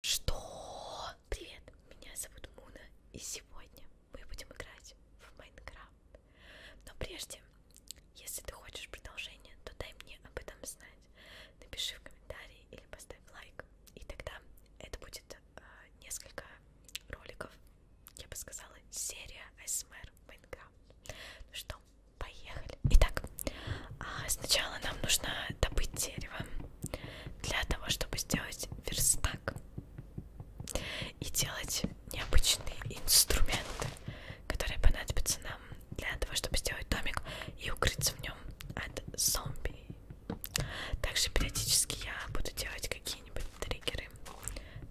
Что? Привет, меня зовут Муна, и сегодня мы будем играть в Майнкрафт. Но прежде, если ты хочешь продолжение, то дай мне об этом знать. Напиши в комментарии или поставь лайк, и тогда это будет э, несколько роликов, я бы сказала, серия ASMR Майнкрафт. Ну что, поехали. Итак, а сначала нам нужно добыть дерево для того, чтобы сделать верстак и делать необычные инструменты, которые понадобятся нам для того, чтобы сделать домик и укрыться в нем от зомби. Также периодически я буду делать какие-нибудь триггеры,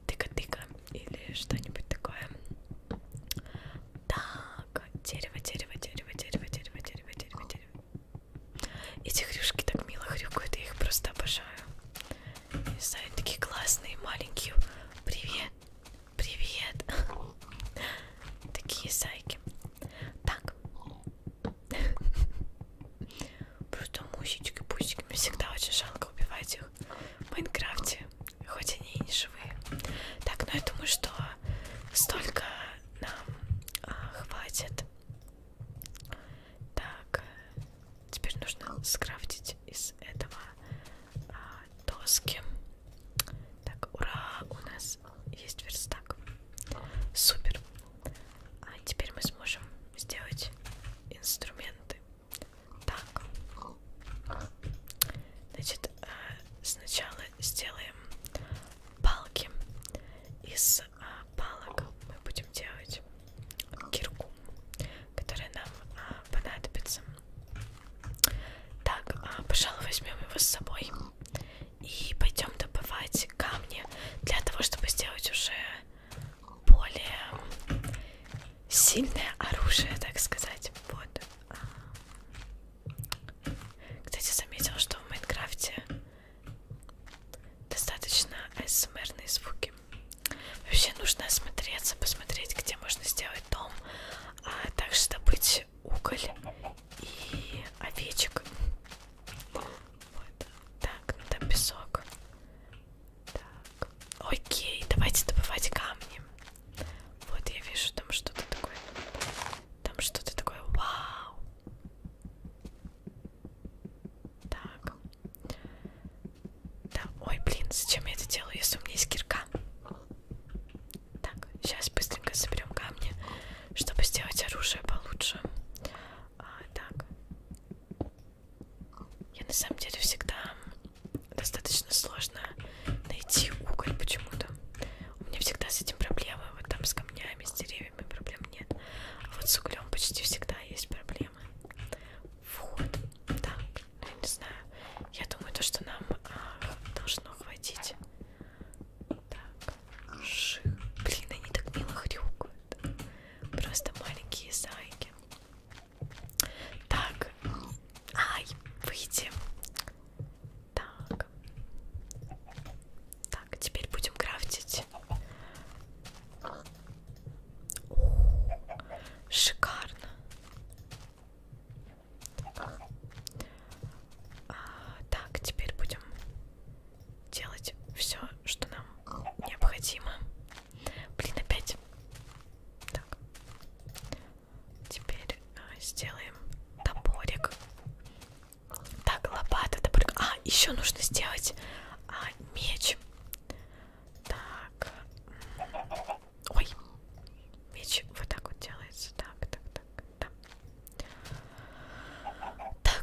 тыка-тыка или что-нибудь такое. Так, дерево, дерево, дерево, дерево, дерево, дерево, дерево, дерево. Эти хрюшки так мило хрюкают, я их просто обожаю. Не знаю, такие классные, маленькие. Привет, привет. Такие зайки. Так. Просто мусечки, пусики. Мне всегда очень жалко убивать их в Майнкрафте. Хоть они и не живые. Так, ну я думаю, что столько нам а, хватит. Так, э, теперь нужно скрафтить из этого а, доски. Так, ура, у нас есть верстак. Супер. А теперь мы сможем сделать инструменты. Так. Значит, э, сначала сделаем палки. Из а, палок мы будем делать кирку, которая нам а, понадобится. Так, а, пожалуй, возьмем его с собой и пойдем добывать камни для того, чтобы сделать уже более сильное оружие, так сказать. Вот. А. Кстати, заметил, что в Майнкрафте достаточно смрные звуки. Вообще нужно осмотреться, посмотреть, где можно сделать дом, а также добыть уголь и овечек. Вот. Так, ну там песок. Так. Окей, давайте добывать камни. Вот я вижу там что-то такое. Там что-то такое вау. Так. Да, ой, блин, зачем я это делаю, если у меня есть кирка? Так, сейчас быстренько соберем камни, чтобы сделать оружие получше. А, так. Я на самом деле всегда достаточно сложно найти уголь почему-то. У меня всегда с этим проблемы, вот там с камнями, с деревьями деревьями проблем нет. А вот с углем почти всегда есть проблемы. Вот. Так, ну, я не знаю. Я думаю, то, что нам а, должно хватить. Так. Ших. Блин, они так мило хрюкают. Просто маленькие зайки. Так. Ай, выйди. Так. Так, теперь будем крафтить. О, шикарно. А, так, теперь будем делать все, что нам необходимо. Блин, опять. Так. Теперь а, сделаем топорик. Так, лопата, топорик. А, еще нужно сделать а, меч. Так. Ой. Меч вот так вот делается. Так, так, так, так.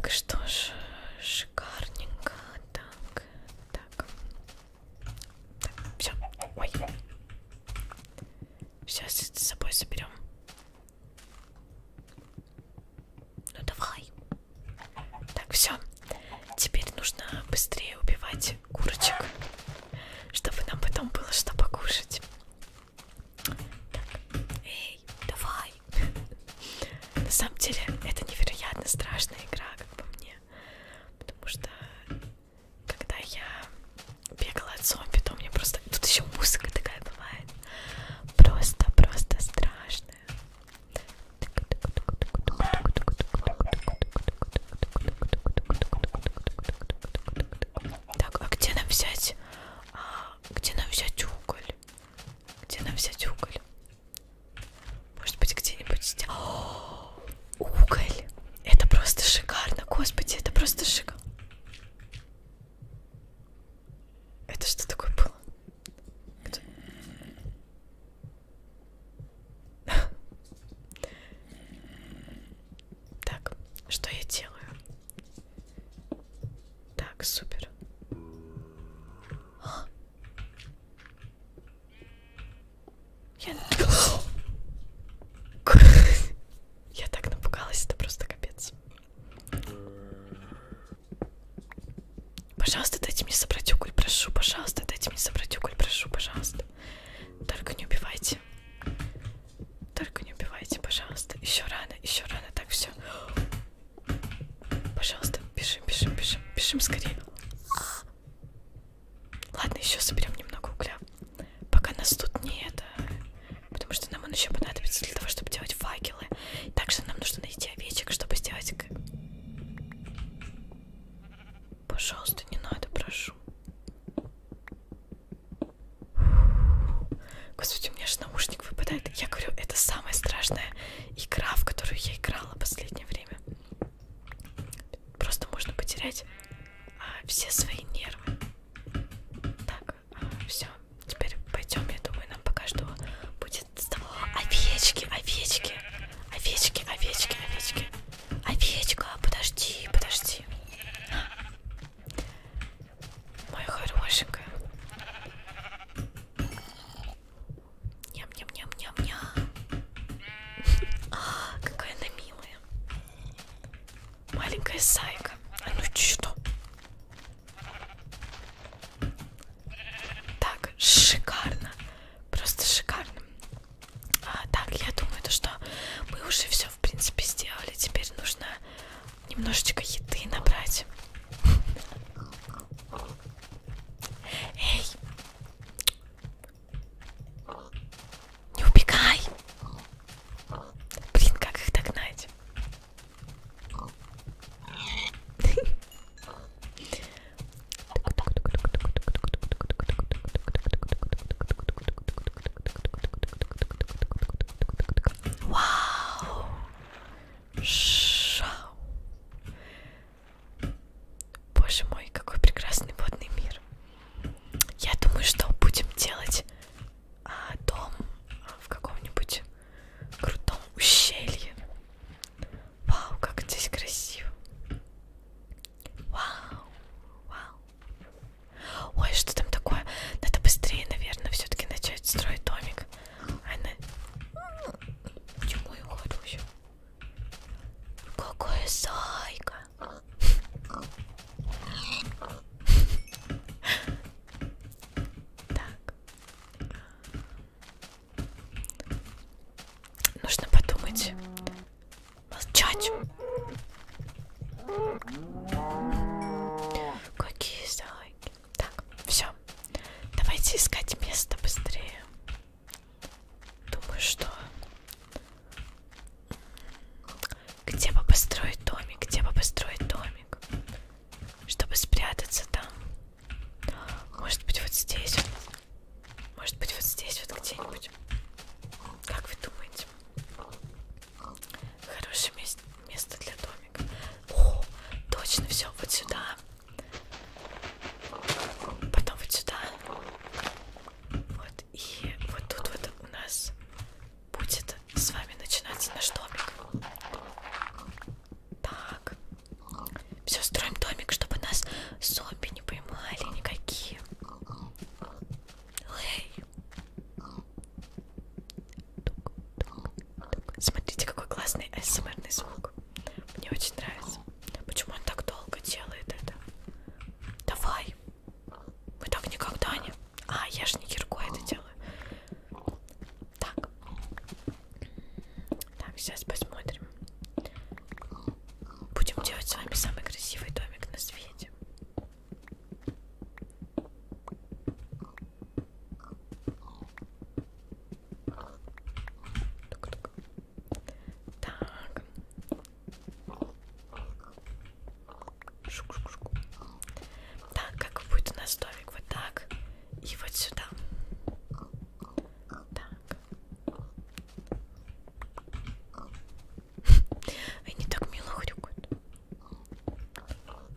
Так, что ж, шикарненько. Так, так. Так, все. Ой. Сейчас с собой соберем. Ну давай. Так, все. Теперь нужно быстрее убивать курочек, чтобы нам потом было что покушать. Так, эй, давай. На самом деле это невероятно страшная игра, как по мне. Потому что когда я бегала от зомби, то мне просто... Тут еще музыка такая бывает. Просто-просто страшная. Так, а где нам взять? А, где нам взять уголь? Где нам взять уголь? Может быть, где-нибудь... О, уголь! Это просто шикарно, господи, это просто шикарно. Это что такое было? Кто? Так, что я делаю? Так, супер. А? Я... я так напугалась, это просто капец. Пожалуйста, дайте мне собрать уголь, прошу, пожалуйста, дайте мне собрать уголь, прошу, пожалуйста. Только не убивайте. Только не убивайте, пожалуйста. Еще рано, еще рано, так все. Пожалуйста, бежим, бежим, бежим, бежим скорее. Ладно, еще соберем немного угля. Пока нас тут не это потому что нам он еще понадобится для того, чтобы делать факелы. Также нам нужно найти овечек, чтобы сделать... Пожалуйста, не надо, прошу. Господи, у меня же наушник выпадает. Я говорю, это самая страшная игра, в которую я играла в последнее время. Просто можно потерять а, все свои нервы. Так все, теперь пойдем, я думаю, нам пока что будет овечки, овечки, овечки, овечки, овечки, овечка, подожди, подожди, моя хорошенькая. Ням-ням-ням-ням-ням. А, какая она милая. Маленькая зайка. А ну что? Так, шикарно. Просто шикарно. А, так, я думаю, то, что мы уже все, в принципе, сделали. Теперь нужно немножечко еды набрать. Эй! Не убегай! Блин, как их догнать? Вау! Шау! Боже мой, какой прекрасный водный мир! Я думаю, что будем делать а, дом в каком-нибудь крутом ущелье. Вау, как здесь красиво. Вау, вау. Ой, что там такое? Надо быстрее, наверное, все-таки начать строить домик. Она... А Почему я ухожу еще? Какая зайка. Так. Нужно подумать. Молчать. Какие залоги. Так, все. Давайте искать место быстрее. Думаю, что... Где бы построить домик? Где бы построить домик? чтобы спрятаться там. Может быть, вот здесь вот. Может быть, вот здесь вот где-нибудь. Как вы думаете? Хорошее мест место для домика. О, точно, все, вот сюда. Потом вот сюда. Вот, и вот тут вот у нас будет с вами начинаться наш домик. Так. Все, строим домик, чтобы нас зомби не поймали никакие. Эй. Смотрите, какой классный СМРный звук. Мне очень нравится. Почему он так долго делает это? Давай. Мы так никогда не... А, я же не киркой это делаю. Так. Так, сейчас посмотрим. Будем делать с вами самый красивый домик на свете. Тук -тук. Так. Шук -шук -шук. Так, как будет у нас домик? Вот так. И вот сюда. Так. Они так мило хрюкают.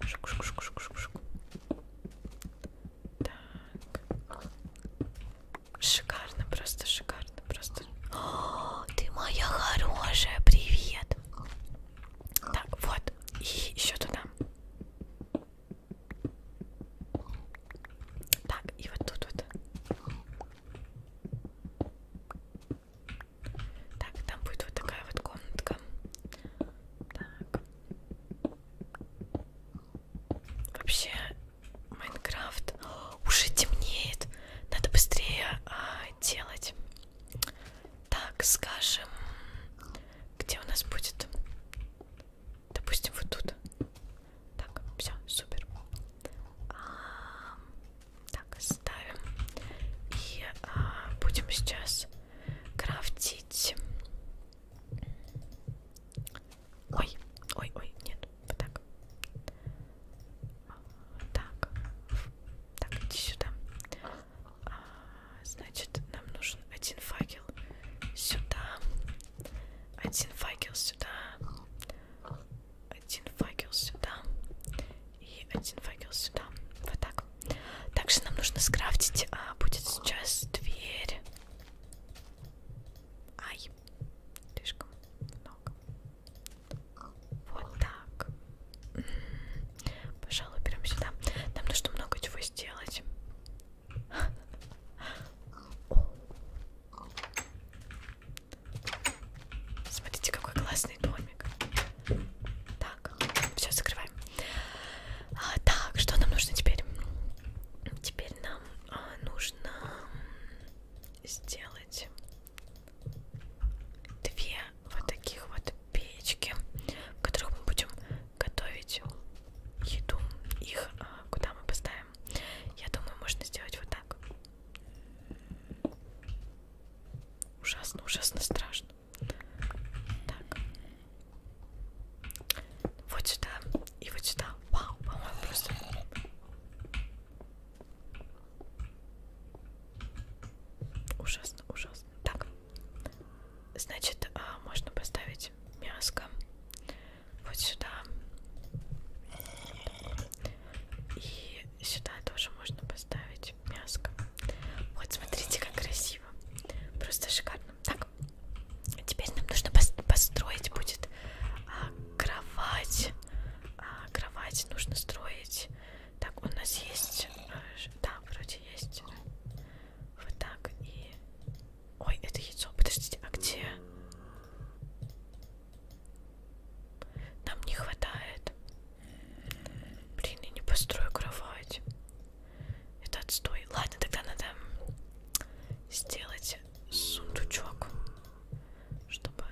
Шук, шук, шук, шук, шук, шук. Так. Шикарно, просто шикарно, просто. О, ты моя хорошая, привет. Так, вот. И еще туда. Так, и вот тут вот. Так, там будет вот такая вот комнатка. Так. Вообще, Майнкрафт уже темнеет. Надо быстрее а, делать. Так, скажем, где у нас будет? Допустим, вот тут. Так, все, супер. А, так, ставим. И а, будем сейчас крафтить. Ой, ой, ой, нет, вот так. Так, так, иди сюда. А, значит, нам нужен один факел сюда, один факел сюда, один факел сюда и один факел сюда. Вот так. Также нам нужно скрафтить. А, будет сейчас дверь. Ай, слишком много. Вот так. Пожалуй, берем сюда. Нам нужно много чего сделать. Смотрите, какой классный домик. Так, все, закрываем. А, так, что нам нужно теперь? Теперь нам а, нужно сделать две вот таких вот печки, в которых мы будем готовить еду. Их а, куда мы поставим? Я думаю, можно сделать вот так. Ужасно, ужасно страшно. Так. Вот сюда и вот сюда. Вау, по-моему, просто... Ужасно, ужасно пожалуйста. Так, значит, а, можно поставить мяско вот сюда. И сюда тоже можно поставить мяско. Вот, смотрите, как красиво. Просто шикарно. Так, теперь нам нужно построить будет а, кровать. А, кровать нужно строить. Так, у нас есть... Э, да, вроде есть. Вот так и... Ой, это яйцо. Подождите, а где? Нам не хватает. Блин, я не построю кровать. Это отстой. Ладно, тогда надо сделать сундучок. Чтобы...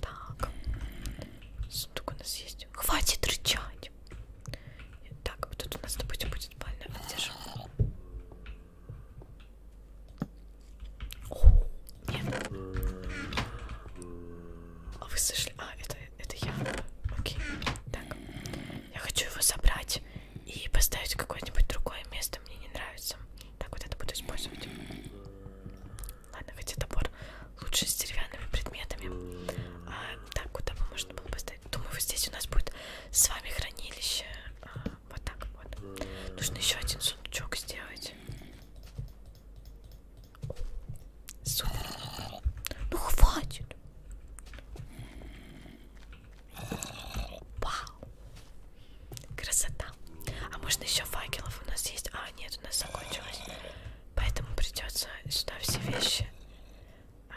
Так. Сундук у нас есть есть. Хватит рычать. Так, вот тут у нас, допустим, будет больная одежда. О, нет. А вы слышали? А, это, это я. Окей. Так. Я хочу его собрать и поставить в какое-нибудь другое место. Мне не нравится. Так, вот это буду использовать. Ладно, хотя топор лучше с деревянными предметами. А, так, куда бы можно было поставить? карты. Думаю, вот здесь у нас будет с вами хранилище. А, вот так вот. Нужно еще один сундучок сделать. Супер. Ну хватит. Вау. Красота. А можно еще факелов у нас есть? А, нет, у нас закончилось. Поэтому придется сюда все вещи а,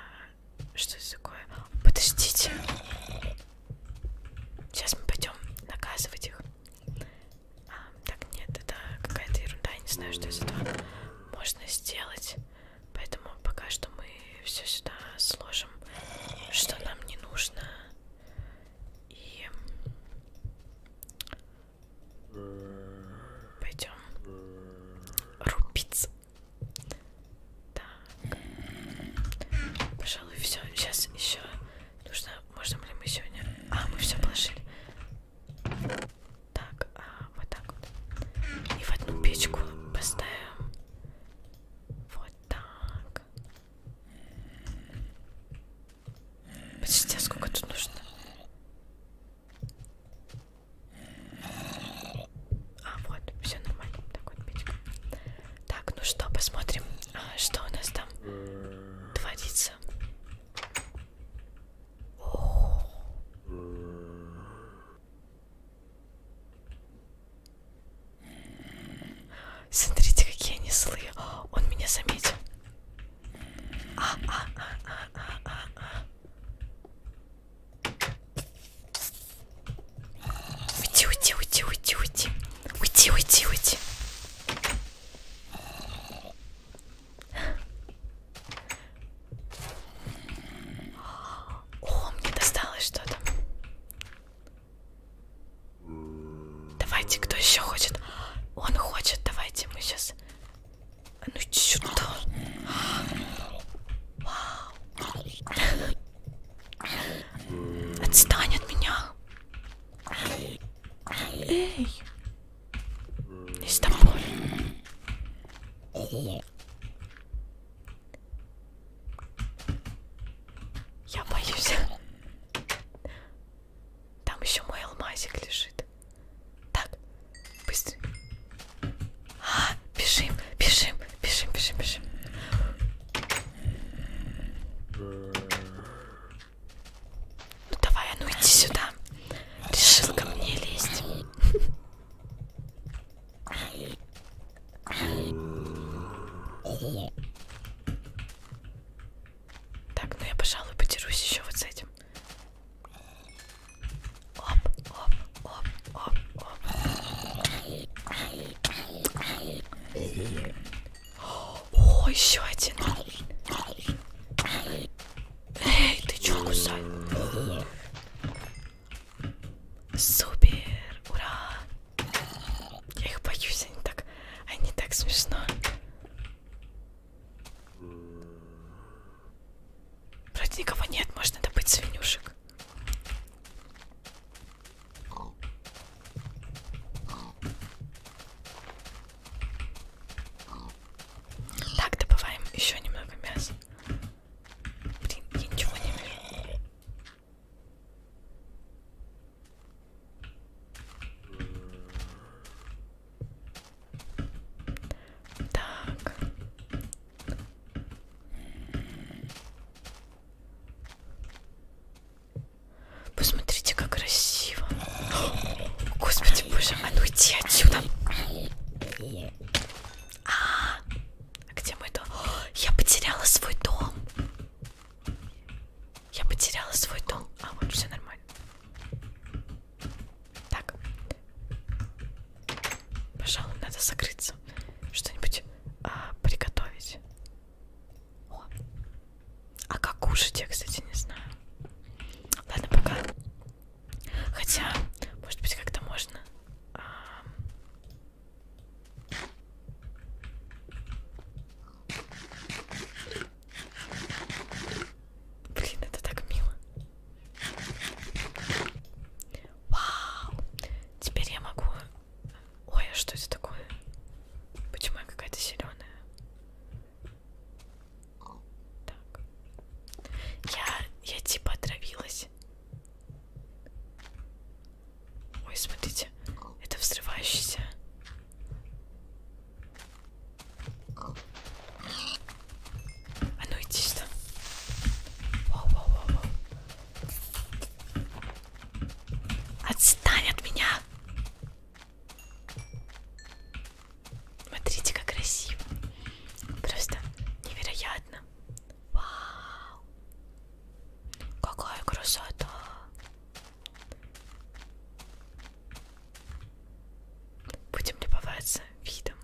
что это такое? Подождите. Сейчас мы пойдем наказывать их. А, так, нет, это какая-то ерунда. Я не знаю, что из этого можно сделать. Поэтому пока что мы все сюда сложим, что нам не нужно. И пойдем рубиться. Так. Пожалуй, все. Сейчас еще нужно. Можно ли мы сегодня. А, мы все положили. Так, а, вот так вот. И в одну печку поставим. Вот так. Подождите, а сколько тут нужно? А, вот, все нормально. Так, вот, печка. Так, ну что, посмотрим, а, что у нас там творится. О -о -о. Смотрите, какие они злые. О, он меня заметил. А, а, а, а, а, а, а. Уйди, уйди, уйди, уйди, уйди. Уйди, уйди, уйди. О, мне досталось что-то. Давайте, кто еще хочет? Он хочет, давайте мы сейчас а ну чудо. Вау. Отстань от меня. Эй. Не с тобой. Я боюсь. Там еще мой алмазик лежит. Так, Быстро. А, бежим, бежим, бежим, бежим, бежим. Ну давай, а ну иди сюда. Решил ко мне лезть. Так, ну я, пожалуй, подерусь еще вот с этим. Оп, оп, оп, оп, оп. О, еще один. Эй, ты чё кусай? Супер, ура! Я их боюсь, они так, они так смешно. Вроде никого нет, можно добыть свинюшек. Так, добываем еще немного мяса. Блин, я ничего не вижу. Так, Посмотрите, как красиво. Господи, боже мой, а ну иди отсюда. А, где мой дом? Я потеряла свой дом. Я потеряла свой дом. А, вот все нормально. Так. Пожалуй, надо закрыться. Что-нибудь а, приготовить. О. А как кушать, я, кстати, не знаю. Ладно, пока. Хотя, может быть, как-то можно. А... Блин, это так мило. Вау! Теперь я могу... Ой, а что это такое? Почему я какая-то зеленая? Так. Я, я типа отравилась. Ой, смотрите, это взрывающийся. А ну иди сюда. Воу, воу, воу, воу. Отстань от меня. Смотрите, как красиво. Просто невероятно. Вау. Какая красота. Будем любоваться видом.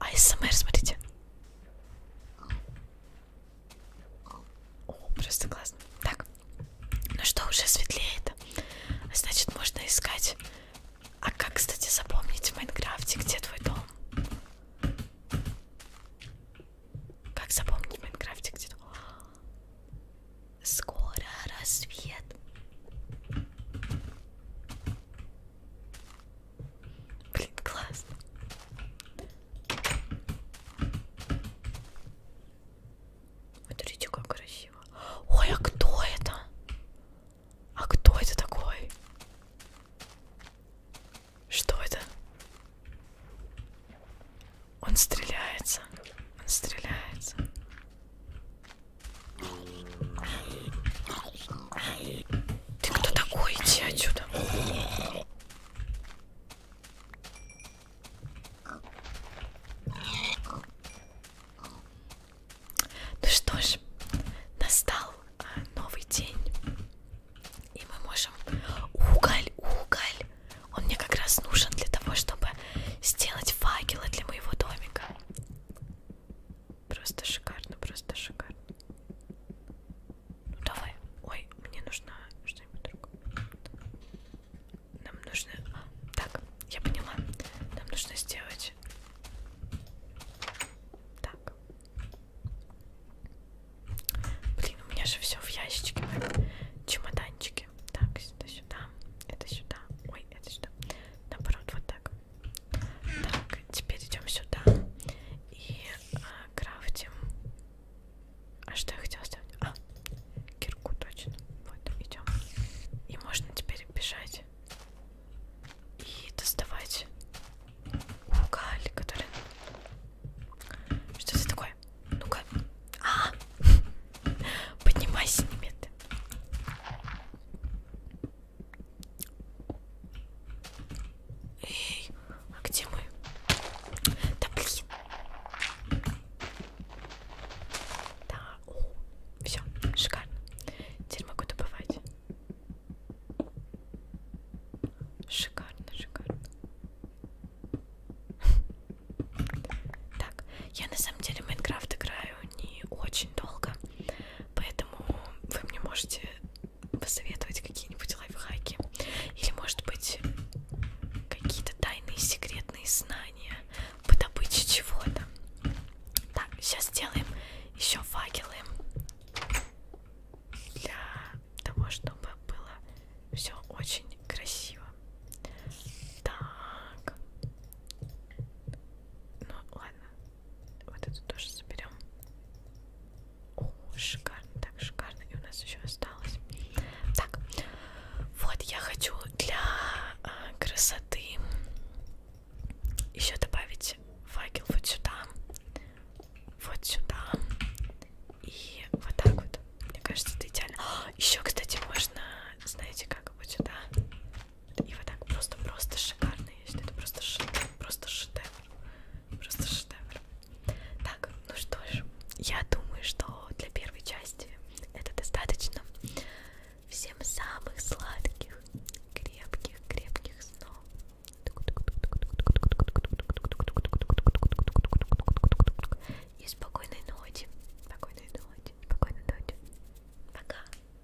АСМР, смотрите. О, просто классно. Так, ну что, уже светлеет. Значит, можно искать. А как, кстати, запомнить в Майнкрафте, где твой дом? Как запомнить в Майнкрафте, где твой Скоро рассвет. Блин, классно. Смотрите, как красиво. Ой, а кто это? А кто это такой? Что это? Он стреляется. Он стреляется. Ты кто такой? Иди отсюда. Ну что ж, настал а, новый день. И мы можем... Уголь, уголь. Он мне как раз нужен для того, чтобы сделать факелы для моего домика. Просто шикарно, просто шикарно. Ну давай. Ой, мне нужно что-нибудь другое. Нам нужно... А, так, я поняла. Нам нужно сделать... Так. Блин, у меня же все в ящичке. Чемоданчики. Так, это сюда, это сюда. Ой, это сюда. Наоборот, вот так. Так, теперь идем сюда и а, крафтим. А что я хотела сделать? А, кирку точно. Вот, идем. И можно теперь бежать и доставать уголь, который... Что это такое? Ну-ка. А, -а, а! Поднимайся, немедленно. Эй, а где мы? Да блин. Да, о, все, шикарно. Теперь могу добывать. Шикарно, шикарно. Так, я на самом деле в Майнкрафт играю не очень долго. Поэтому вы мне можете посоветовать какие-нибудь лайфхаки. Или, может быть, какие-то тайные секретные знания по добыче чего-то. Так, сейчас сделаем еще факелы для того, чтобы было все очень красиво. Так. Ну ладно, вот эту тоже соберем. О, шикарно, так шикарно. И у нас еще осталось. Так, вот я хочу для а, красоты еще добавить факел вот сюда, вот сюда и вот так вот. Мне кажется, это идеально. Еще, кстати, можно, знаете, как вот сюда и вот так просто-просто шикарно. Я считаю, это просто шедевр. Просто шедевр. Просто шедевр. Так, ну что ж, я думаю, что для первой части это достаточно. Всем самых сладких, крепких, крепких снов. И спокойной ночи. Спокойной ночи. Спокойной ночи. Пока.